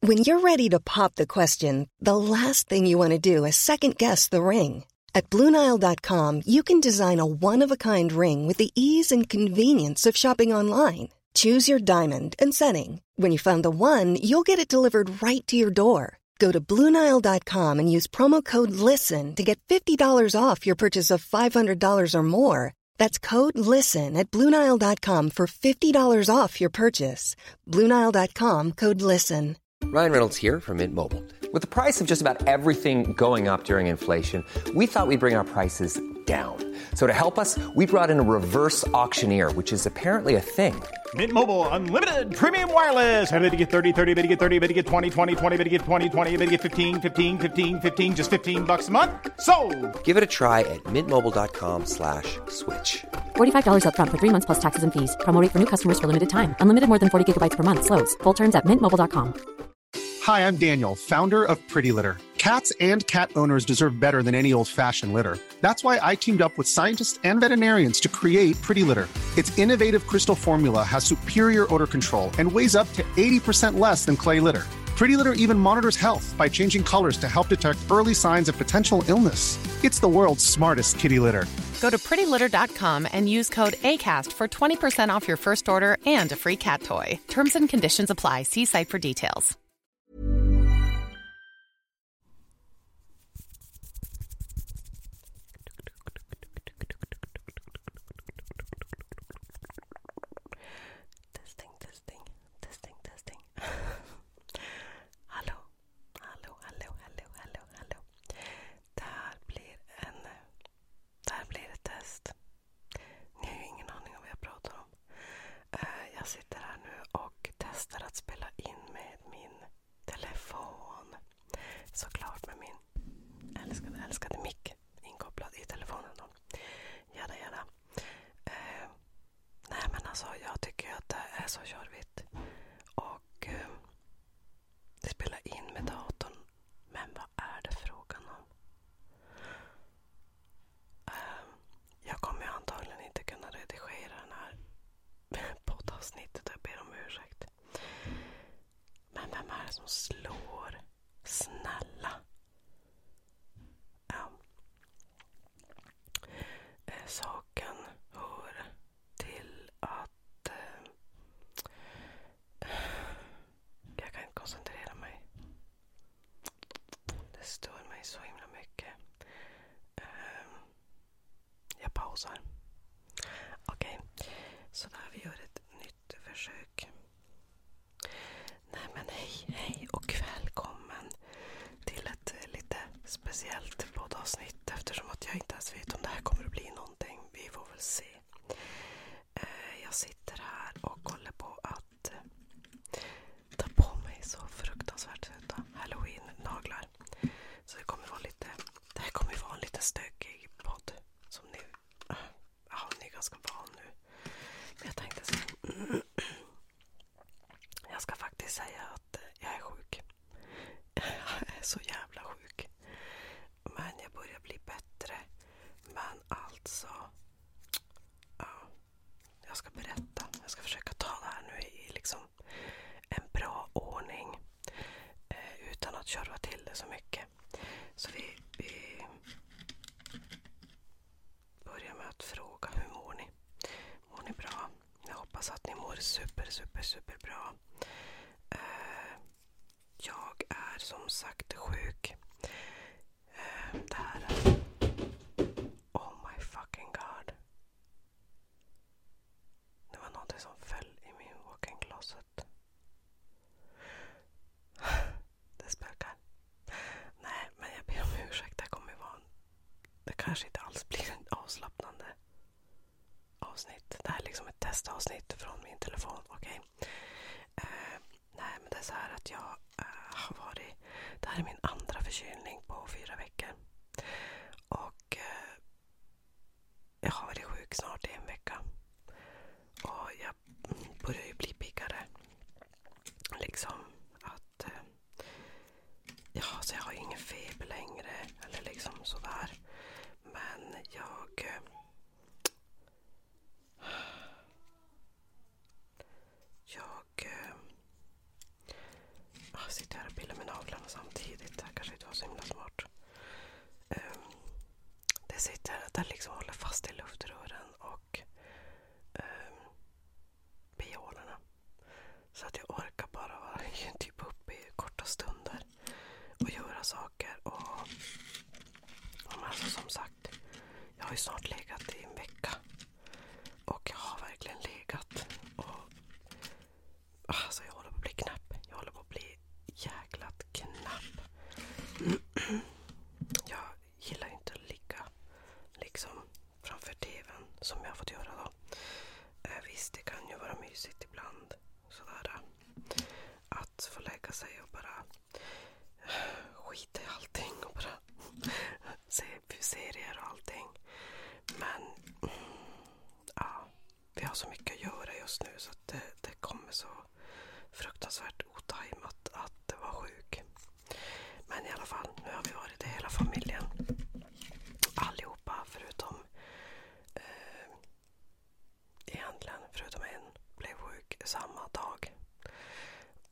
When you're ready to pop the question, the last thing you want to do is second guess the ring. At Bluenile.com, you can design a one of a kind ring with the ease and convenience of shopping online. Choose your diamond and setting. When you find the one, you'll get it delivered right to your door. Go to Bluenile.com and use promo code LISTEN to get $50 off your purchase of $500 or more. That's code LISTEN at Bluenile.com for $50 off your purchase. Bluenile.com code LISTEN. Ryan Reynolds here from Mint Mobile. With the price of just about everything going up during inflation, we thought we'd bring our prices down. So to help us, we brought in a reverse auctioneer, which is apparently a thing. Mint Mobile unlimited premium wireless. Ready to get 30, 30, bit to get 30, bit to get 20, 20, 20, bit to get 20, 20, bit get 15, 15, 15, 15 just 15 bucks a month. So, give it a try at mintmobile.com slash switch. $45 upfront for three months plus taxes and fees. Promote for new customers for limited time. Unlimited more than 40 gigabytes per month. Slows. Full terms at mintmobile.com. Hi, I'm Daniel, founder of Pretty Litter. Cats and cat owners deserve better than any old-fashioned litter. That's why I teamed up with scientists and veterinarians to create Pretty Litter. Its innovative crystal formula has superior odor control and weighs up to 80% less than clay litter. Pretty Litter even monitors health by changing colors to help detect early signs of potential illness. It's the world's smartest kitty litter. Go to prettylitter.com and use code ACAST for 20% off your first order and a free cat toy. Terms and conditions apply. See site for details. Testing, testing, testing, testing. hallå, hallå, hallå, hallå, hallå, Det här blir ett test. Ni har ju ingen aning om vad jag pratar om. Eh, jag sitter här nu och testar att spela in med min telefon. Såklart med min älskade, älskade mick inkopplad i telefonen. Då. Jada, jada. Eh, nej men alltså jag tycker att det är så körvigt. Och eh, det spelar in med datorn. Men vad är det frågan om? Eh, jag kommer antagligen inte kunna redigera den här poddavsnittet. Jag ber om ursäkt. Men vem är det som slår? Snälla. Eh, saken hör till att... Eh, jag kan inte koncentrera mig. Det stör mig så himla mycket. Eh, jag pausar. Okej, okay. så där vi gör ett nytt försök. Nej men hej, hej och välkommen till ett lite speciellt poddavsnitt eftersom att jag inte ens vet om det här kommer att bli någonting. Vi får väl se. Eh, jag sitter här och håller på att eh, ta på mig så fruktansvärt söta halloween-naglar. Så det kommer vara lite, det här kommer vara en lite stökig podd som ni, ja, ni är ganska van nu. Men jag tänkte så Jag ska faktiskt säga att eh, jag är sjuk. Jag är så jävla sjuk. Men jag börjar bli bättre. Men alltså. Ja, jag ska berätta. Jag ska försöka ta det här nu i liksom en bra ordning. Eh, utan att köra till det så mycket. Så vi, vi Börja med att fråga hur mår ni? Mår ni bra? Jag hoppas att ni mår super, super, super bra. Eh, jag är som sagt sjuk. Eh, det här är... Oh my fucking god. Det var någonting som föll i min walk-in closet det spökar. Nej, men jag ber om ursäkt. Det kommer vara en, Det kanske inte alls blir ett avslappnande avsnitt. Det här är liksom ett testavsnitt från min telefon. Okej? Okay. Uh, eh, nej, men det är så här att jag uh, har varit... Det här är min andra förkylning på fyra veckor. Och uh, jag har varit sjuk snart i en vecka. Och jag börjar ju bli piggare. Liksom att att eh, ja, så jag har ingen feber längre eller liksom sådär. Men jag... Eh, jag... Jag eh, ah, sitter här och pillar med naglarna samtidigt. Det här kanske inte var så himla smart. Ehm, det sitter, Det liksom håller fast i luftrören och ehm, piolerna. Så att jag orkar bara vara typ uppe i korta stunder och göra saker. Och, och alltså som sagt, jag har ju snart legat i en vecka. Och jag har verkligen legat. Och, ah, alltså jag håller på att bli knäpp. Jag håller på att bli jäklat knäpp. Jag, gillar ju inte att ligga liksom framför TVn som jag har fått göra då. Eh, visst, det kan ju vara mysigt ibland sådär. Att få lägga sig och bara eh, skita i allting och bara se serier och allting. Men ja, vi har så mycket att göra just nu så det, det kommer så fruktansvärt otajmat att vara sjuk. Men i alla fall, nu har vi varit det hela familjen. Allihopa förutom eh, egentligen, förutom en, blev sjuk samma dag.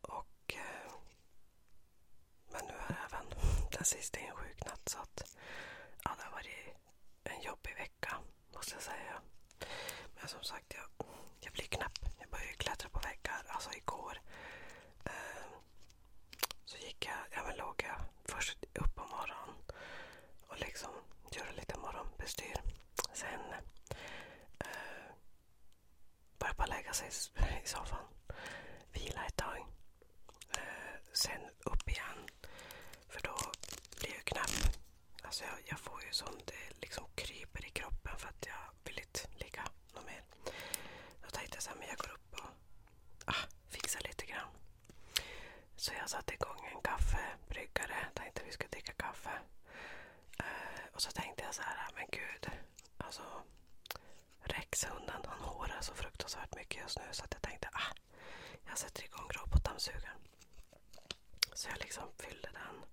Och, eh, men nu är även den sista insjuknat så att ja, det har varit en jobbig vecka måste jag säga. Men som sagt, jag, jag blir knäpp. Jag började klättra på väggar, alltså igår. Eh, så gick jag, ja men låg jag först upp på morgonen och liksom gjorde lite morgonbestyr. Sen eh, började bara lägga sig i soffan, vila ett tag. Eh, sen upp igen, för då blir jag knäpp. Alltså jag, jag får ju som det eh, liksom kryper i kroppen för att jag vill inte ligga något mer. Då tänkte jag så här, men jag går upp och ah, fixar lite grann. Så jag satte igång en kaffebryggare. Tänkte vi skulle dricka kaffe. Eh, och så tänkte jag så här, ah, men gud. Alltså, Rex, han hårar så fruktansvärt mycket just nu så att jag tänkte ah, jag sätter igång robotdammsugaren. Så jag liksom fyllde den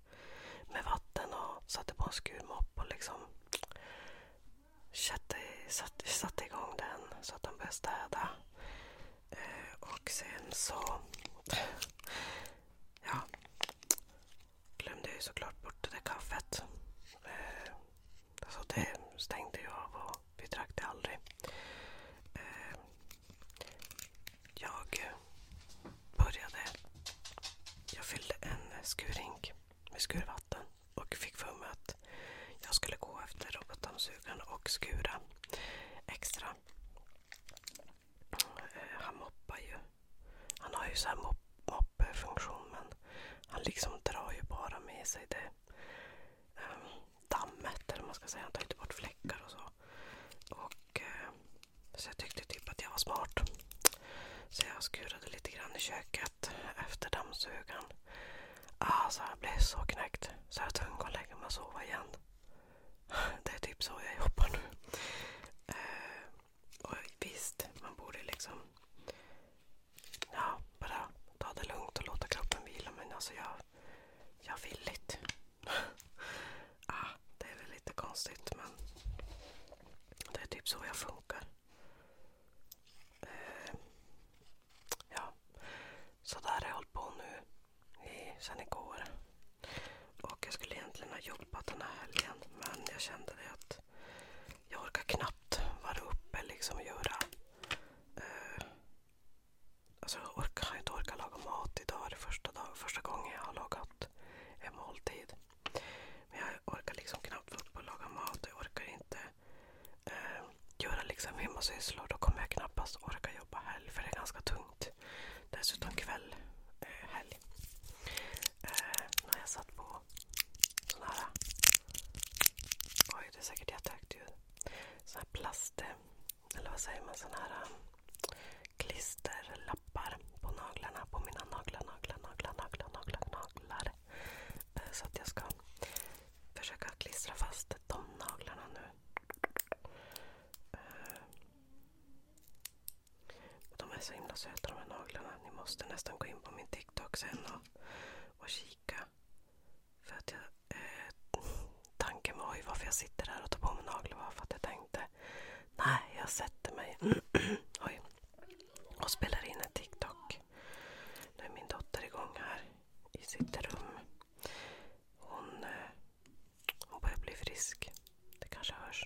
med vatten och satte på en skurmopp och liksom satte, satte, satte igång den så att den började städa. Eh, och sen så... Ja. Glömde jag ju såklart bort det där kaffet. Eh, alltså det stängde jag av och vi drack det aldrig. Eh, jag började... Jag fyllde en skurrink med skurvatten och fick för mig att jag skulle gå efter robotdammsugaren och skura extra. Eh, han moppar ju. Han har ju så här moppefunktion moppfunktion men han liksom drar ju bara med sig det ehm, dammet eller man ska säga. Han tar inte bort fläckar och så. Och eh, så jag tyckte typ att jag var smart. Så jag skurade lite grann i köket efter dammsugaren. Alltså ah, jag blev så knäckt så jag var tvungen att lägga mig och sova igen. Det är typ så jag jobbar nu. Eh, och visst, man borde liksom ja, bara ta det lugnt och låta kroppen vila men alltså jag, jag vill inte. ah, det är väl lite konstigt men det är typ så jag funkar. Eh, ja, så där har jag hållit på nu i, sen igår. Och jag skulle egentligen ha jobbat den här helgen men jag kände det att jag orkar knappt vara uppe liksom och göra... Eh, alltså jag orkar, inte orkar laga mat idag. Det är första, dag, första gången jag har lagat en måltid. Men jag orkar liksom knappt vara uppe och laga mat. Jag orkar inte eh, göra liksom hemmasysslor. Då kommer jag knappast orka jobba helg för det är ganska tungt. Dessutom kväll, eh, helg. Eh, när jag satt på sån här... Oj, det är säkert jättehögt ljud. Sån här plast... Eh, eller vad säger man? Sån här... Um, klisterlappar på naglarna. På mina naglar, naglar, naglar, naglar, naglar, naglar. Eh, så att jag ska försöka klistra fast de naglarna nu. Eh, de är så himla söta de här naglarna. Ni måste nästan gå in på min TikTok sen och, och kika. För att jag, eh, tanken var ju varför jag sitter här och tar på mig naglar var för att jag tänkte inte. Nej, jag sätter mig Oj. och spelar in en TikTok. Nu är min dotter igång här i sitt rum. Hon, eh, hon börjar bli frisk. Det kanske hörs.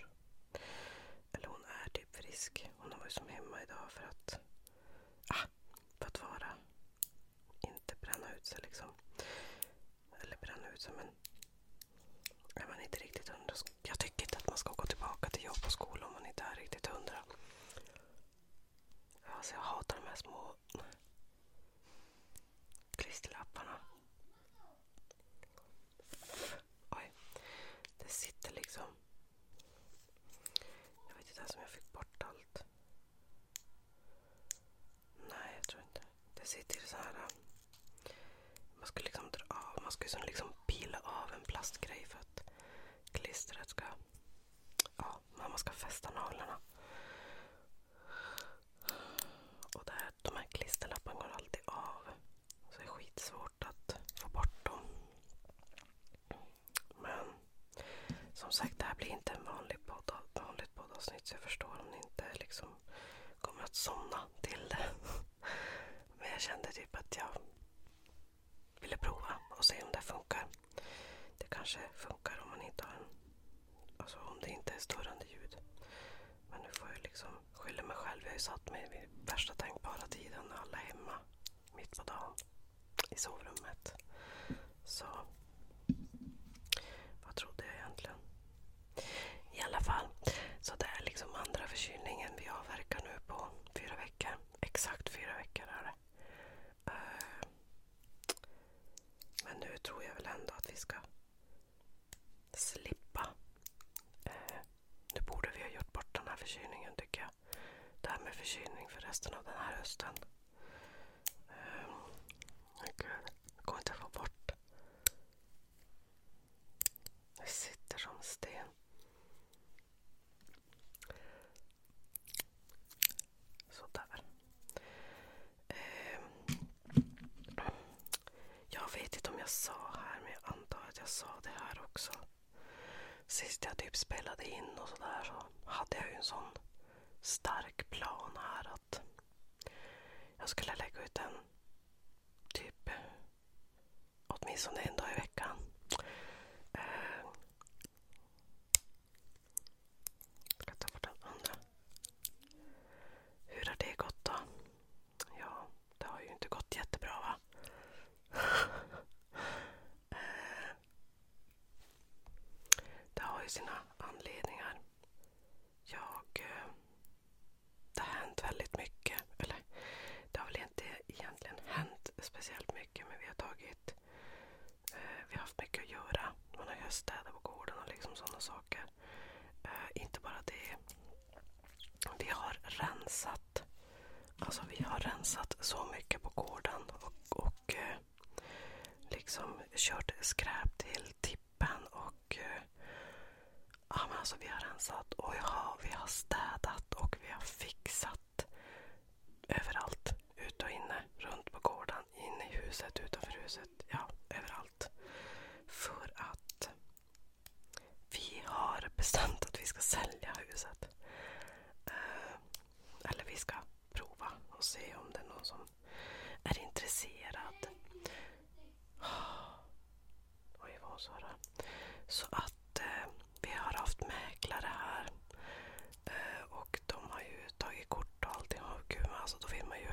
Eller hon är typ frisk. Hon har varit som hemma idag för att, ah, för att vara. Inte bränna ut sig liksom. Eller bränna ut sig men är man inte riktigt hundra. Jag tycker inte att man ska gå tillbaka till jobb och skola om man inte är riktigt hundra. Alltså jag hatar de här små klisterlapparna. Oj. Det sitter liksom. Jag vet inte ens om jag fick bort allt. Nej, jag tror inte. Det sitter så här. Um, man ska liksom dra av, man ska liksom, pila av en plastgrej för att klistret ska... Ja, man ska fästa naglarna. Och där, de här klisterlapparna går alltid av. Så det är skitsvårt att få bort dem. Men som sagt, det här blir inte en vanlig podd, vanligt poddavsnitt så jag förstår om ni inte liksom kommer att somna till det. Men jag kände typ att jag ville prova och se om det funkar. Det kanske funkar om man inte har en... Alltså om det inte är störande ljud. Men nu får jag liksom skylla mig själv. Jag har ju satt mig vid värsta tänkbara tiden när alla är hemma. Mitt på dagen. I sovrummet. Så... Vad trodde jag egentligen? I alla fall. Så det är liksom andra förkylningen vi avverkar nu på fyra veckor. Exakt fyra veckor är det. Eh, men nu tror jag väl ändå att vi ska slippa. Eh, nu borde vi ha gjort bort den här förkylningen tycker jag. Det här med förkylning för resten av den här hösten. Eh, gud, jag kommer inte att få bort jag sitter som sten. Sådär. Ehm. Jag vet inte om jag sa här, men jag antar att jag sa det här också. Sist jag typ spelade in och sådär så hade jag ju en sån stark plan här att jag skulle lägga ut en typ åtminstone en dag i veckan. Eh, ska ta bort den andra. Hur har det gått då? Ja, det har ju inte gått jättebra eh, det har ju sina anledningar. Jag eh, det har hänt väldigt mycket. Eller det har väl inte egentligen hänt speciellt mycket men vi har tagit eh, vi har haft mycket att göra. Man har ju städat på gården och liksom sådana saker. Eh, inte bara det. Vi har rensat. Alltså vi har rensat så mycket på gården och, och eh, liksom kört skräp till klippan och eh, ja, men alltså vi har rensat och ja, vi har städat och vi har fixat överallt. Ut och inne, runt på gården, inne i huset, utanför huset. Ja, överallt. För att vi har bestämt att vi ska sälja huset. Eh, eller vi ska prova och se om det är någon som är intresserad. Oj, vad sa det? Så att eh, vi har haft mäklare här. Eh, och de har ju tagit kort och allting. Och gud, alltså, då vill man ju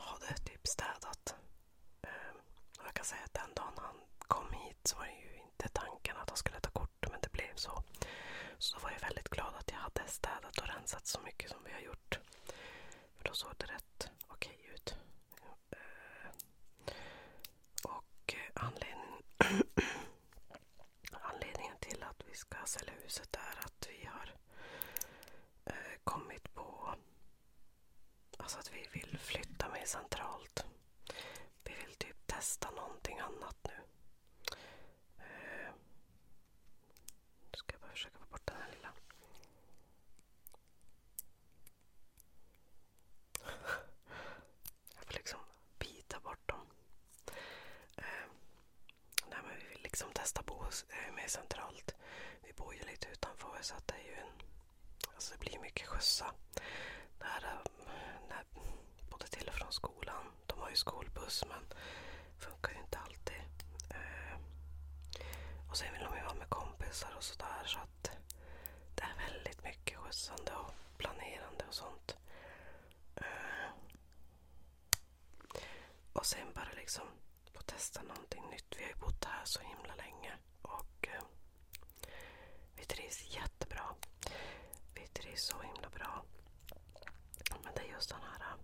ha det typ städat. Eh, jag kan säga att den dagen han kom hit så var det ju inte tanken att han skulle ta kort, men det blev så. Så då var jag väldigt glad att jag hade städat och rensat så mycket som vi har gjort då såg det rätt okej okay ut. Eh, och eh, anledningen, anledningen till att vi ska sälja huset är att vi har eh, kommit på alltså att vi vill flytta mer centralt. Vi vill typ testa någonting annat nu. Nu ska jag bara försöka få bort den här lilla. Jag får liksom bita bort dem. Eh, vi vill liksom testa bo eh, mer centralt. Vi bor ju lite utanför så att det är ju en... Alltså det blir mycket skjutsa. Där, där, eh, både till och från skolan. De har ju skolbuss men Funkar ju inte alltid. Eh, och sen vill de ju vara med kompisar och sådär. Så att det är väldigt mycket skjutsande och planerande och sånt. Eh, och sen bara liksom få testa någonting nytt. Vi har ju bott här så himla länge. Och eh, vi trivs jättebra. Vi trivs så himla bra. Men det är just den här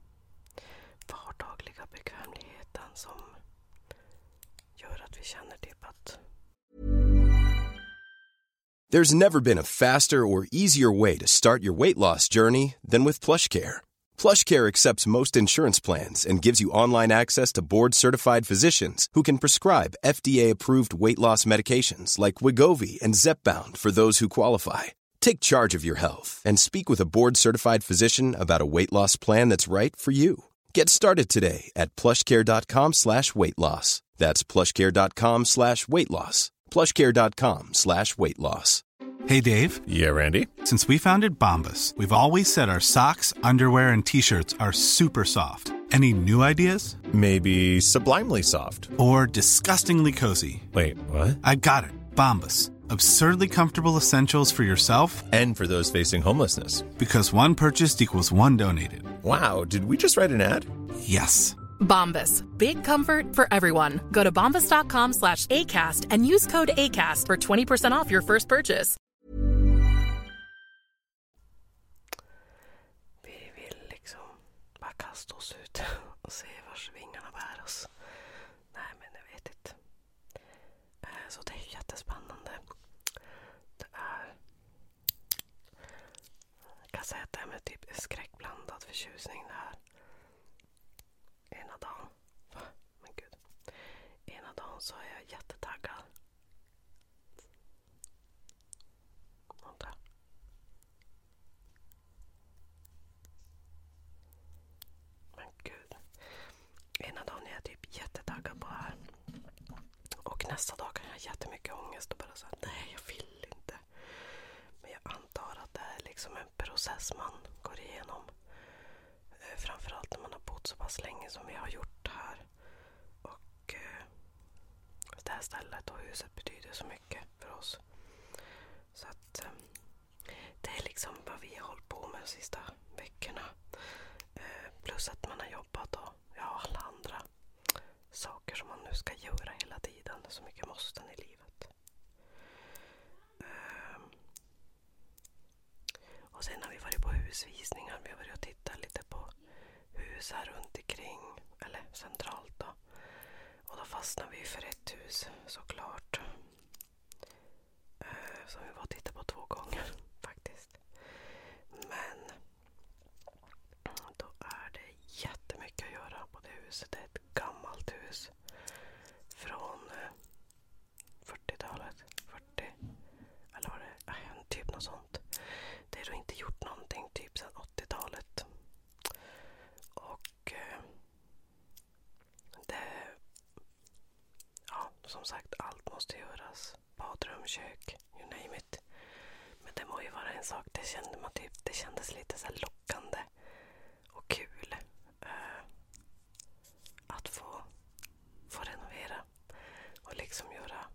There's never been a faster or easier way to start your weight loss journey than with PlushCare. PlushCare accepts most insurance plans and gives you online access to board-certified physicians who can prescribe FDA-approved weight loss medications like Wigovi and Zepbound for those who qualify. Take charge of your health and speak with a board-certified physician about a weight loss plan that's right for you. Get started today at plushcare.com slash weight loss. That's plushcare.com slash weight loss. Plushcare.com slash weight loss. Hey Dave. Yeah, Randy. Since we founded Bombus, we've always said our socks, underwear, and t-shirts are super soft. Any new ideas? Maybe sublimely soft. Or disgustingly cozy. Wait, what? I got it. Bombus absurdly comfortable essentials for yourself and for those facing homelessness because one purchased equals one donated wow did we just write an ad yes bombas big comfort for everyone go to bombas.com slash acast and use code acast for 20% off your first purchase vi vill liksom bara kasta oss ut och se vars vingarna bär oss nej men jag vet inte Eh, så det är jättespännande. Det är... Jag kan säga att det är med typ skräckblandad förtjusning det här. Ena dagen... Va? Men gud. Ena dagen så är jag jättetaggad. Men gud. Ena dagen är jag typ jättetaggad på det här. Och nästa dag kan jag ha jättemycket ångest och bara säga nej jag vill inte. Men jag antar att det är liksom en process man går igenom. Eh, framförallt när man har bott så pass länge som vi har gjort här. Och eh, det här stället och huset betyder så mycket för oss. Så att ehm, det är liksom vad vi har hållit på med de sista veckorna. Eh, plus att man har jobbat och ja, alla andra saker som man nu ska göra hela tiden. Så mycket måsten i livet. Ehm. Och sen har vi varit på husvisningar. Vi har varit och tittat lite på hus här runt omkring. Eller centralt då. Och då fastnade vi för ett hus såklart. Eh, Som vi var tittade på två gånger faktiskt. Men då är det jättemycket att göra på det huset. Det är ett gammalt hus från 40-talet. Eh, 40 eller var det typ något sånt. Det är då inte gjort någonting typ sedan 80-talet. Och eh, det, ja, som sagt, allt måste göras. Badrum, kök, you name it. Men det må ju vara en sak. Det, kände man typ, det kändes lite så lockande och kul eh, att få, få renovera och liksom göra,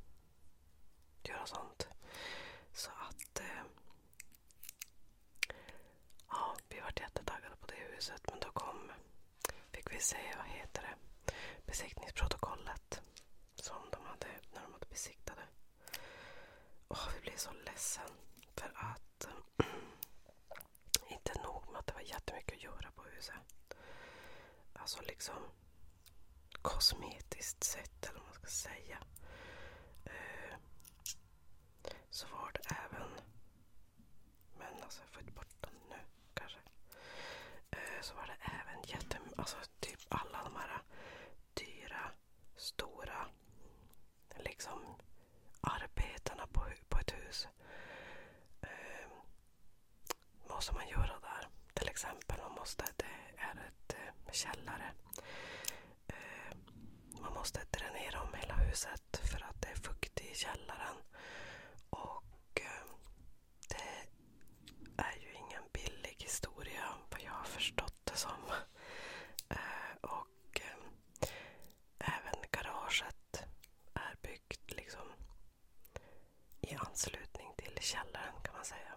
göra sånt. Så att eh, Ja, vi var jättetaggade på det huset men då kom, fick vi se, vad heter det, besiktningsprotokollet som de hade när de hade besiktade. Åh, vi blev så ledsen för att inte nog med att det var jättemycket att göra på huset. Alltså liksom kosmetiskt sett eller vad man ska säga. Eh, så var det även... Men alltså, jag får inte bort den nu kanske. Eh, så var det även jätte... Alltså typ alla de här dyra, stora liksom, arbetena på, ett hus. Eh, måste man göra där. Till exempel, man Det är ett eh, källare. Eh, man måste dränera om hela huset huset för att det är fuktigt i källaren. Och eh, det är ju ingen billig historia vad jag har förstått det som. Eh, och eh, även garaget är byggt liksom i anslutning till källaren kan man säga.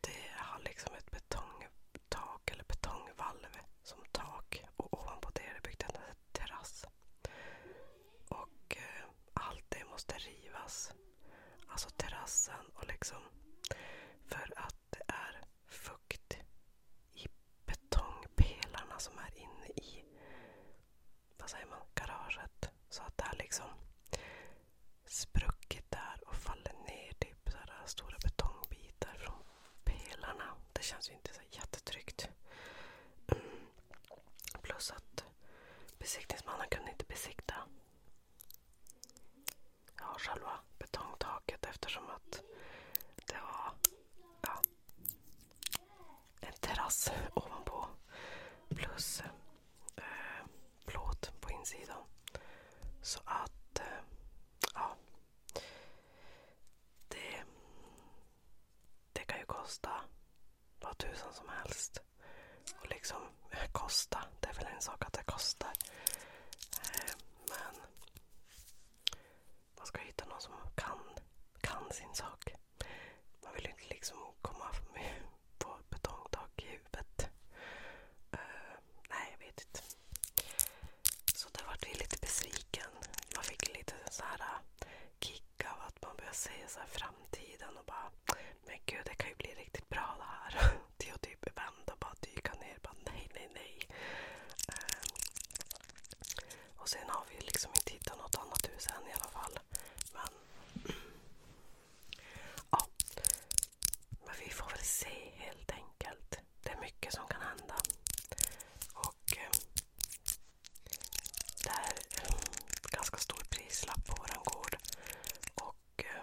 Det har liksom ett betong ett tak eller betongvalv som tak och ovanpå det är det byggt en terrass. Och eh, allt det måste rivas. Alltså terrassen och liksom för att det är fukt i betongpelarna som är inne i vad säger man, garaget. Så att det är liksom sprucket där och faller ner. Det typ så här stora betongbitar från pelarna. Det känns ju inte så jättetryggt. Mm. Plus att besiktningsmannen kunde inte besikta ja, själva betongtaket eftersom att det var ja, en terrass ovanpå plus eh, plåt på insidan. Så att eh, ja. Det, det kan ju kosta vad tusan som helst. Och liksom, kosta, det är väl en sak att det kostar. Eh, men man ska hitta någon som kan, kan sin sak. Man vill ju inte liksom komma på betongtak i huvudet. Eh, nej, jag vet inte. Så där vart vi lite besviken. Man fick lite så här äh, kick av att man börjar se så här framtiden och bara Men gud, det kan ju bli riktigt bra det här. Till att typ vända och bara dyka ner. Bara, nej, nej, nej. Ehm, och sen har vi liksom inte hittat något annat hus än i alla fall. Men ja, men vi får väl se helt enkelt. Det är mycket som kan hända. Och eh, det är en ganska stor prislapp på våran gård. Och eh,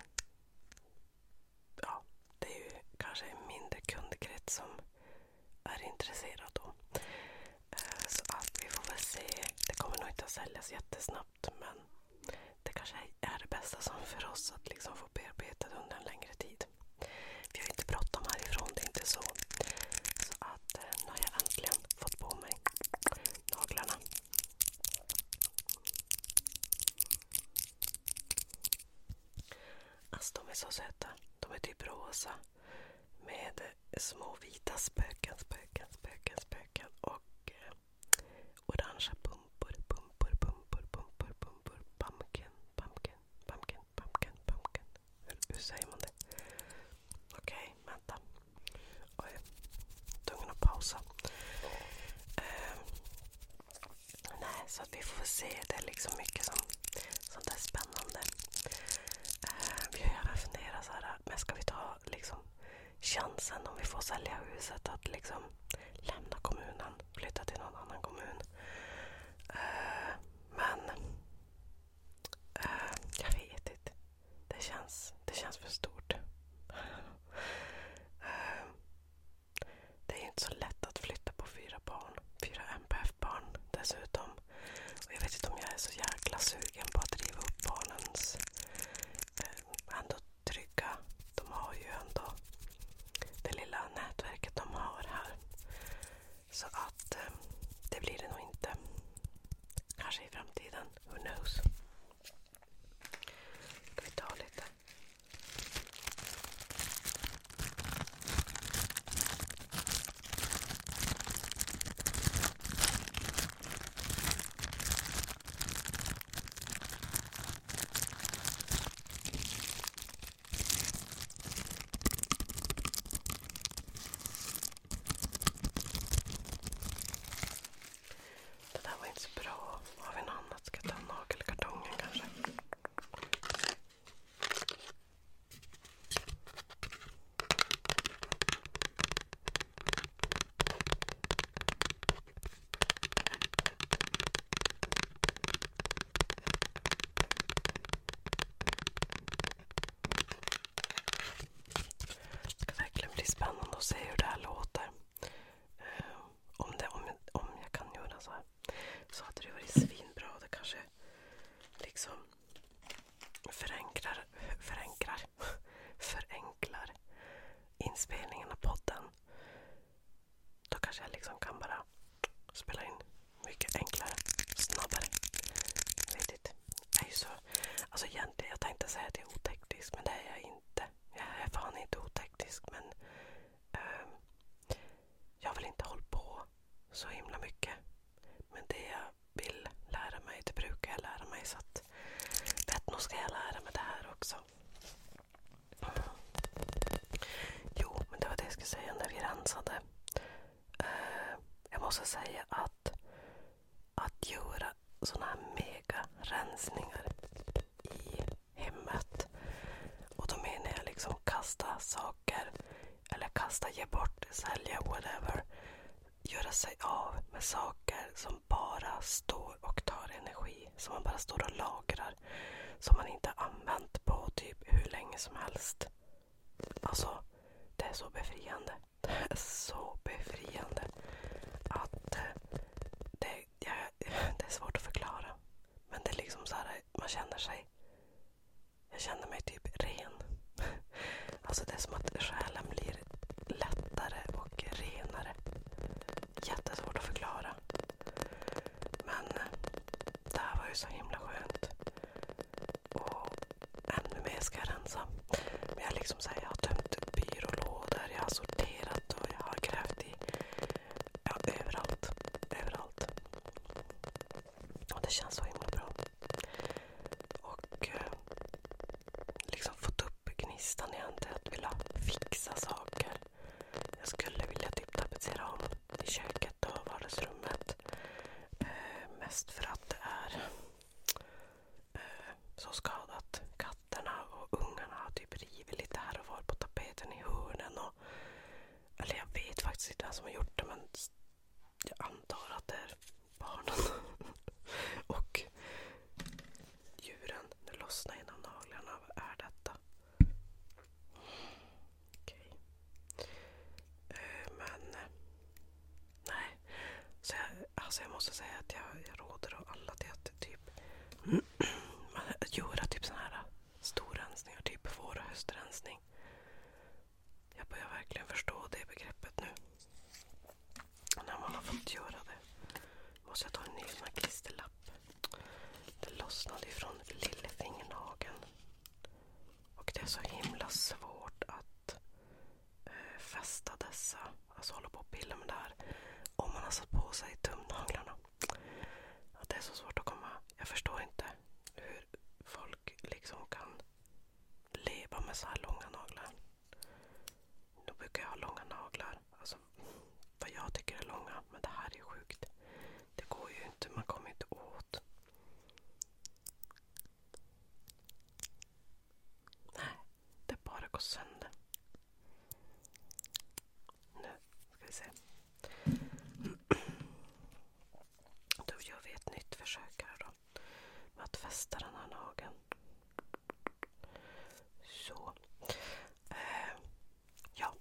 ja, det är ju kanske en mindre kundkrets som är intresserad då. Eh, så att vi får väl se. Det kommer nog inte att säljas jättesnabbt men det kanske är det bästa som för oss att liksom få bearbetat under en längre tid. Vi har inte bråttom härifrån, det är inte så. Så att eh, nu har jag äntligen fått på mig naglarna. Alltså de är så söta. De är typ rosa med små vita spöken, spöken, spöken, spöken och eh, Orangea pumpor, pumpor, pumpor, pumpor, pumpor. Pumpkin, pumpkin, pumpkin, pumpkin, pumpkin. Hur, hur säger man det? Okej, okay, vänta. Oj, tvungen att pausa. Um, nej, så att vi får se. Det är liksom mycket som, sånt där spännande. Uh, vi har även funderat så här, men ska vi ta liksom chansen om vi får sälja huset att liksom lämna kommunen flytta till någon annan kommun. Uh, men uh, jag vet inte. Det känns, det känns för stort. uh, det är ju inte så lätt att flytta på fyra barn. Fyra MPF-barn dessutom. Och jag vet inte om jag är så jäkla sugen på att driva upp barnens eh, ändå trygga. De har ju ändå det lilla nätverket de har här. Så att eh, det blir det nog inte. Kanske i framtiden. Who knows? Ska vi ta lite? Det där var inte så bra. Har vi något annat? Ska jag ta nagelkartongen kanske? Det ska verkligen bli spännande att se hur det här låter. Eh, om, jag kan göra så Så hade det varit svinbra. Det kanske liksom förenklar inspelningen av podden. Då kanske jag liksom kan bara spela in mycket enklare, snabbare. Jag Jag är så... Alltså egentligen, jag tänkte säga att jag är oteknisk, men det är jag inte. Jag är fan inte oteknisk, men... Um, jag vill inte hålla på så himla mycket. Men det jag vill lära mig, det brukar jag lära mig. Så att vet nog ska jag lära mig det här också. Jo, men det var det jag skulle säga när vi rensade. Eh, jag måste säga att att göra sådana här mega rensningar i hemmet. Och då menar jag liksom kasta saker eller kasta, ge bort, sälja, whatever. Göra sig av med saker som bara står på och tar energi som man bara står och lagrar. Som man inte använt på typ hur länge som helst. Alltså, det är så befriande. Det är så befriande. Att eh, det, ja, det är svårt att förklara. Men det är liksom så här, man känner sig... Jag känner mig typ ren. Alltså det är som att själen blir lättare och renare jättesvårt att förklara. Men eh, det här var ju så himla skönt. Och ännu mer ska jag rensa. Men jag, liksom så jag har tömt byrålådor, jag har sorterat och jag har grävt i ja, överallt. Överallt. Och det känns så himla bra. Och eh, liksom fått upp gnistan i att vilja fixa saker. Jag skulle vilja typ tapetsera om i köket och vardagsrummet. Eh, mest för att det är eh, så skadat. Katterna och ungarna har typ rivit lite här och var på tapeten i hörnen. Och, eller jag vet faktiskt inte vem som har gjort det men jag antar att det är barnen. och djuren. Nu lossnar en av naglarna. Vad är detta? Okej. Okay. Eh, men... Nej. Så jag, alltså jag måste säga att jag, jag råder av alla till att typ man, göra typ sådana här storrensningar. Typ vår och höstrensning. Jag börjar verkligen förstå det begreppet nu när man har fått göra det. Måste jag ta en ny klisterlapp. Det lossnade ifrån lillfingernageln. Och det är så himla svårt att eh, fästa dessa, alltså hålla på och pilla med det här om man har satt på sig tumnaglarna. Att det är så svårt att komma... Jag förstår inte hur folk liksom kan leva med så här långa naglar. Då brukar jag ha långa naglar. Alltså vad jag tycker är långa. Men det här är sjukt. Det går ju inte. Man kommer inte åt. Nej, det bara går sönder. Nu ska vi se. Då gör vi ett nytt försök här då. Med att fästa den här nageln. Så. Eh, ja.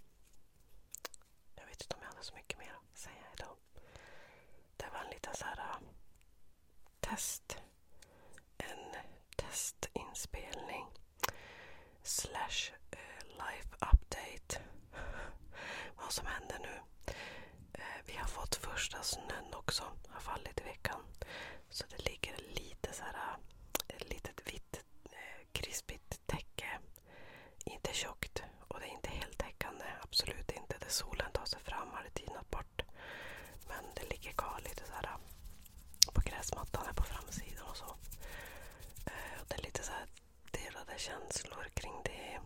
Jag vet inte om jag hade så mycket mer att säga idag. Det var en liten så här, eh, test. En testinspelning. Slash uh, life update. Vad som händer nu. Uh, vi har fått första snön också. Har fallit i veckan. Så det ligger lite så här, ett litet vitt eh, krispigt täcke. Inte tjockt och det är inte heltäckande. Absolut inte. Där solen tar sig fram har det tinat bort. Men det ligger kvar lite så här eh, på gräsmattan här på framsidan och så. Eh, det är lite så här delade känslor kring det.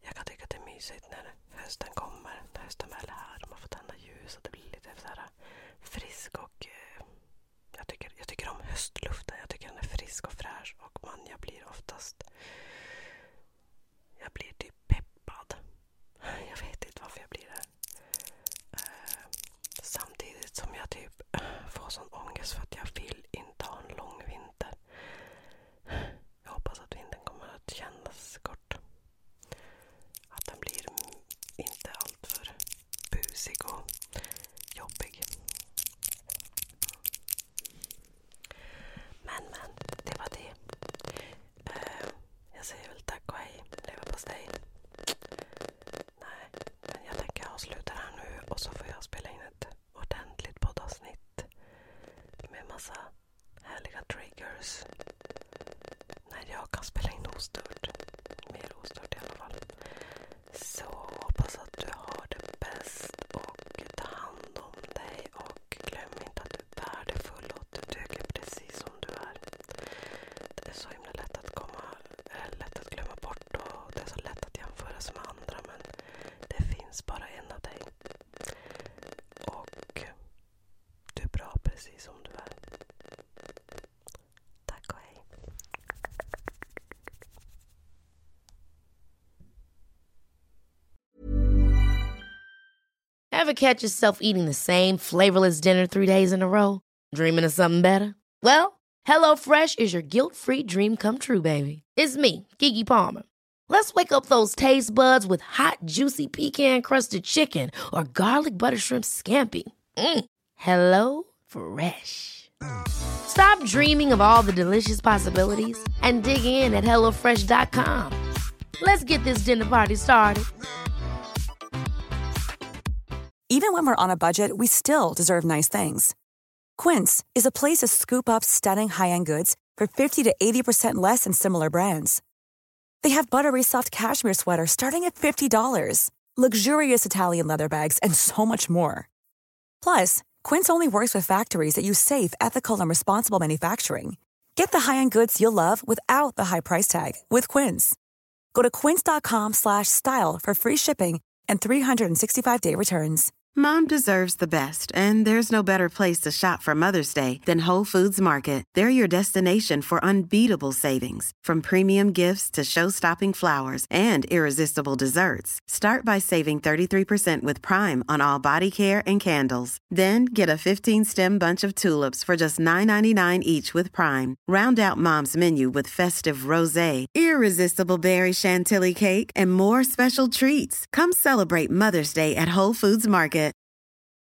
Jag kan tycka att det är mysigt när hösten kommer. När hösten väl är här. Man får tända ljus och det blir lite så här frisk och... Eh, jag tycker, jag tycker om höstluften. Jag tycker den är frisk och fräsch. Och man, jag blir oftast... Jag blir typ peppad. Jag vet inte varför jag blir det. Eh, samtidigt som jag typ får sån ångest för att jag vill inte ha en lång vinter. Jag hoppas att vintern kommer att kännas kort. Att den blir inte alltför busig och jobbig. Men, men. Det var det. Eh, jag säger väl tack och hej. Leverpastej. Nej, men jag tänker avsluta här nu och så får jag spela in ett ordentligt poddavsnitt med massa härliga triggers när jag kan spela in ostört. Mer ostört i alla fall. Så hoppas att du har det bäst och ta hand om dig. Och glöm inte att du är värdefull och att du duger precis som du är. Det är så himla lätt att, komma, eh, lätt att glömma bort och det är så lätt att jämföra sig med andra. Men det finns bara en av dig. Och Have är bra catch yourself eating the same flavorless dinner three days in a row? Dreaming of something better? Well, Hello Fresh is your guilt-free dream come true, baby. It's me, Gigi Palmer. Let's wake up those taste buds with hot, juicy pecan crusted chicken or garlic butter shrimp scampi. Mm. Hello Fresh. Stop dreaming of all the delicious possibilities and dig in at HelloFresh.com. Let's get this dinner party started. Even when we're on a budget, we still deserve nice things. Quince is a place to scoop up stunning high end goods for 50 to 80% less than similar brands. They have buttery soft cashmere sweaters starting at $50, luxurious Italian leather bags, and so much more. Plus, Quince only works with factories that use safe, ethical, and responsible manufacturing. Get the high-end goods you'll love without the high price tag with Quince. Go to quince.com/style for free shipping and 365-day returns. Mom deserves the best, and there's no better place to shop for Mother's Day than Whole Foods Market they're your destination for unbeatable savings, from premium gifts to show-stopping flowers and irresistible desserts. Start by saving 33% with Prime on all body care and candles. Then get a 15-stem bunch of tulips for just $9.99 each with Prime. Round out Mom's menu with festive rosé, irresistible berry chantilly cake, and more special treats. Come celebrate Mother's Day at Whole Foods Market.